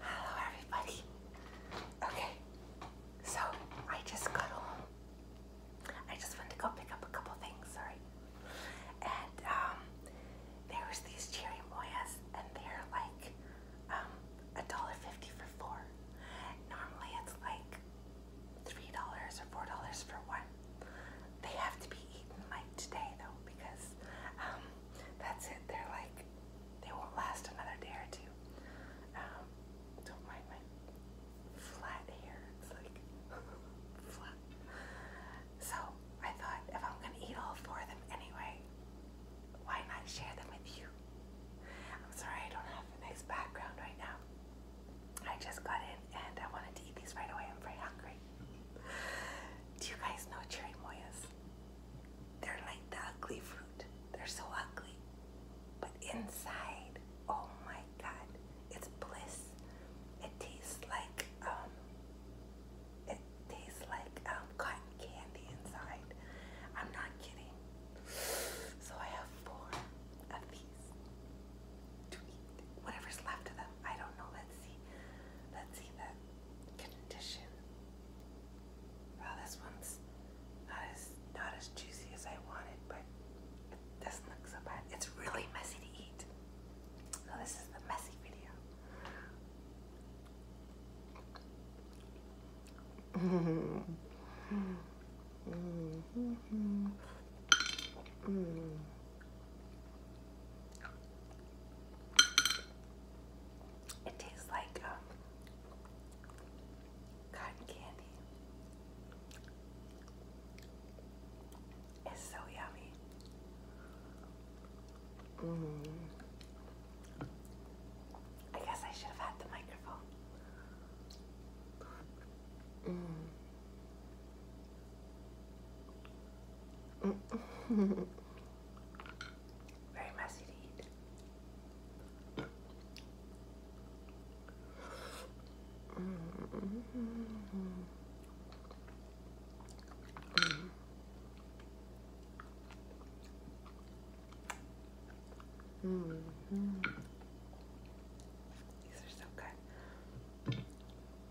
Hello, everybody. Okay, so I just got home. I just went to go pick up a couple things, sorry. And um, there was these cherimoyas, and they're like um a dollar fifty for four. Normally it's like three dollars or four dollars for one. They have to be eaten like today though because um, that's it. They're like, they won't last another day or two. Um, don't mind my flat hair. It's like flat. So I thought if I'm going to eat all four of them anyway, why not share them with you? I'm sorry I don't have a nice background right now. I just got in and I wanted to eat these right away. I'm very hungry. Do you guys know cherry moys? They're like the ugly fruit. They're so ugly. But inside, oh my god, it's bliss. It tastes like um it tastes like um cotton candy inside. I'm not kidding. So I have four of these to eat. Whatever's left of them. I don't know. Let's see. Let's see that condition. Well, this one's not as not as juicy as I wanted, but it doesn't look so bad. It's really messy to eat. So this is the messy video. It tastes like um, cotton candy. It's so yummy. Mm. I guess I should have had the microphone. Mm. Very messy to Mm These are so good.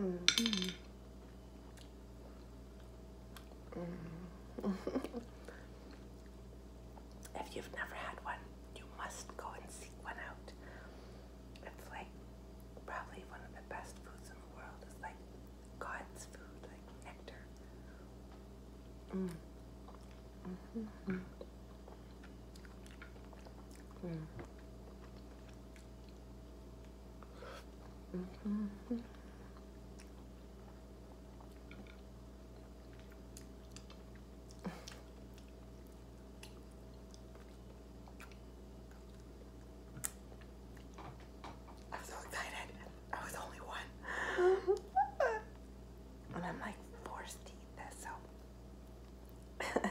Mm. if you've never had one, you must go and seek one out. It's like probably one of the best foods in the world. It's like God's food, like nectar. Mm. Mm. I'm so excited. I was the only one. and I'm like forced so.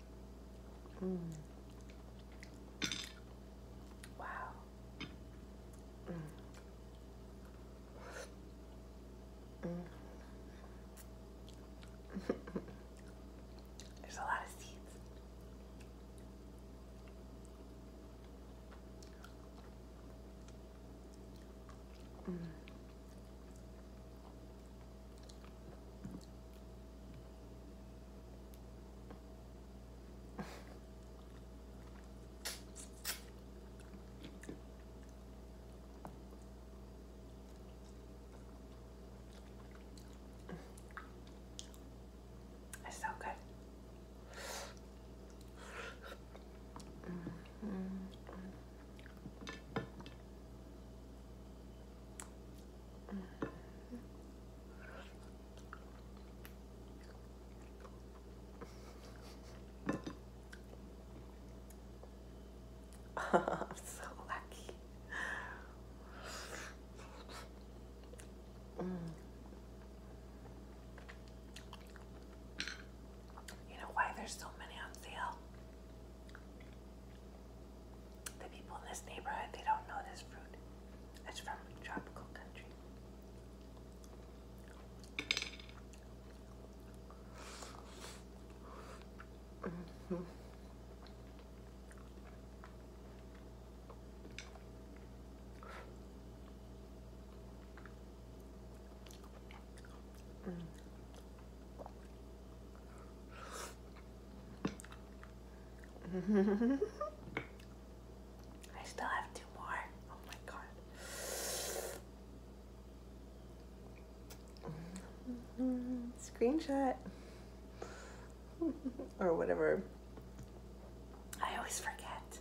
Mm. Wow. Mm. Mm. There's a lot of seeds. Mm. It's so good. Mm-hmm. Mm-hmm. I'm so lucky. Mm. You know why there's so many on sale? The people in this neighborhood, they don't know this fruit. It's from a tropical country. Mm -hmm. Mm. I still have two more. Oh my god. Screenshot. or whatever. I always forget.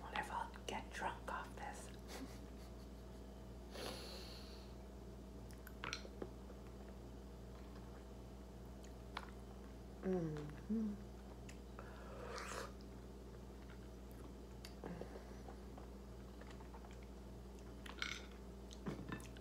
Wonder if I'll get drunk off this. -hmm.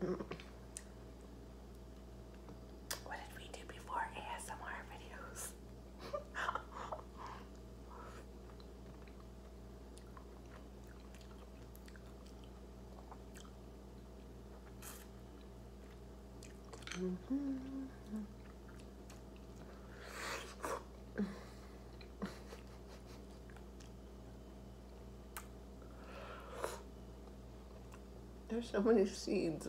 What did we do before ASMR videos? There's so many seeds.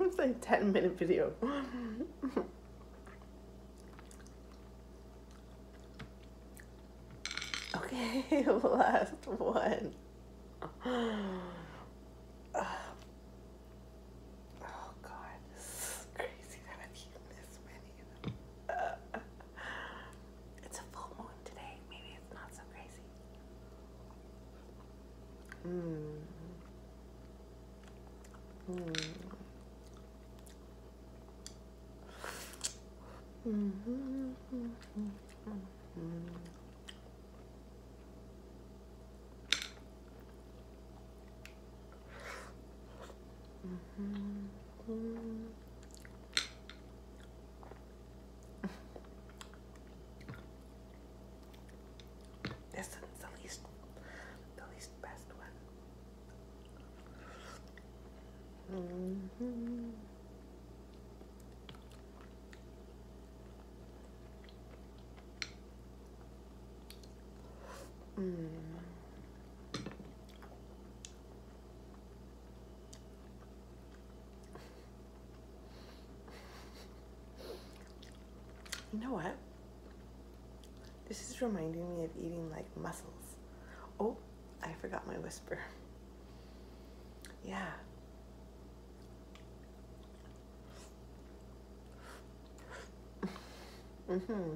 It's like a 10 minute video. okay, last one. Oh, uh, it's a full moon today. Maybe it's not so crazy. Mm. Mm. Mm-hmm. Mm-hmm. hmm hmm this is the least, the least best one. Mm-hmm. Mm -hmm. You know what? This is reminding me of eating like mussels. Oh, I forgot my whisper. Yeah. Mm-hmm.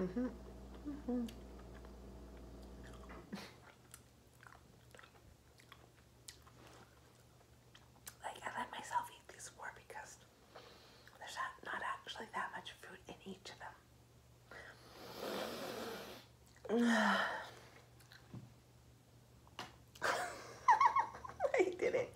Mm-hmm. Mm-hmm. Like, I let myself eat these four because there's not actually that much food in each of them. I did it.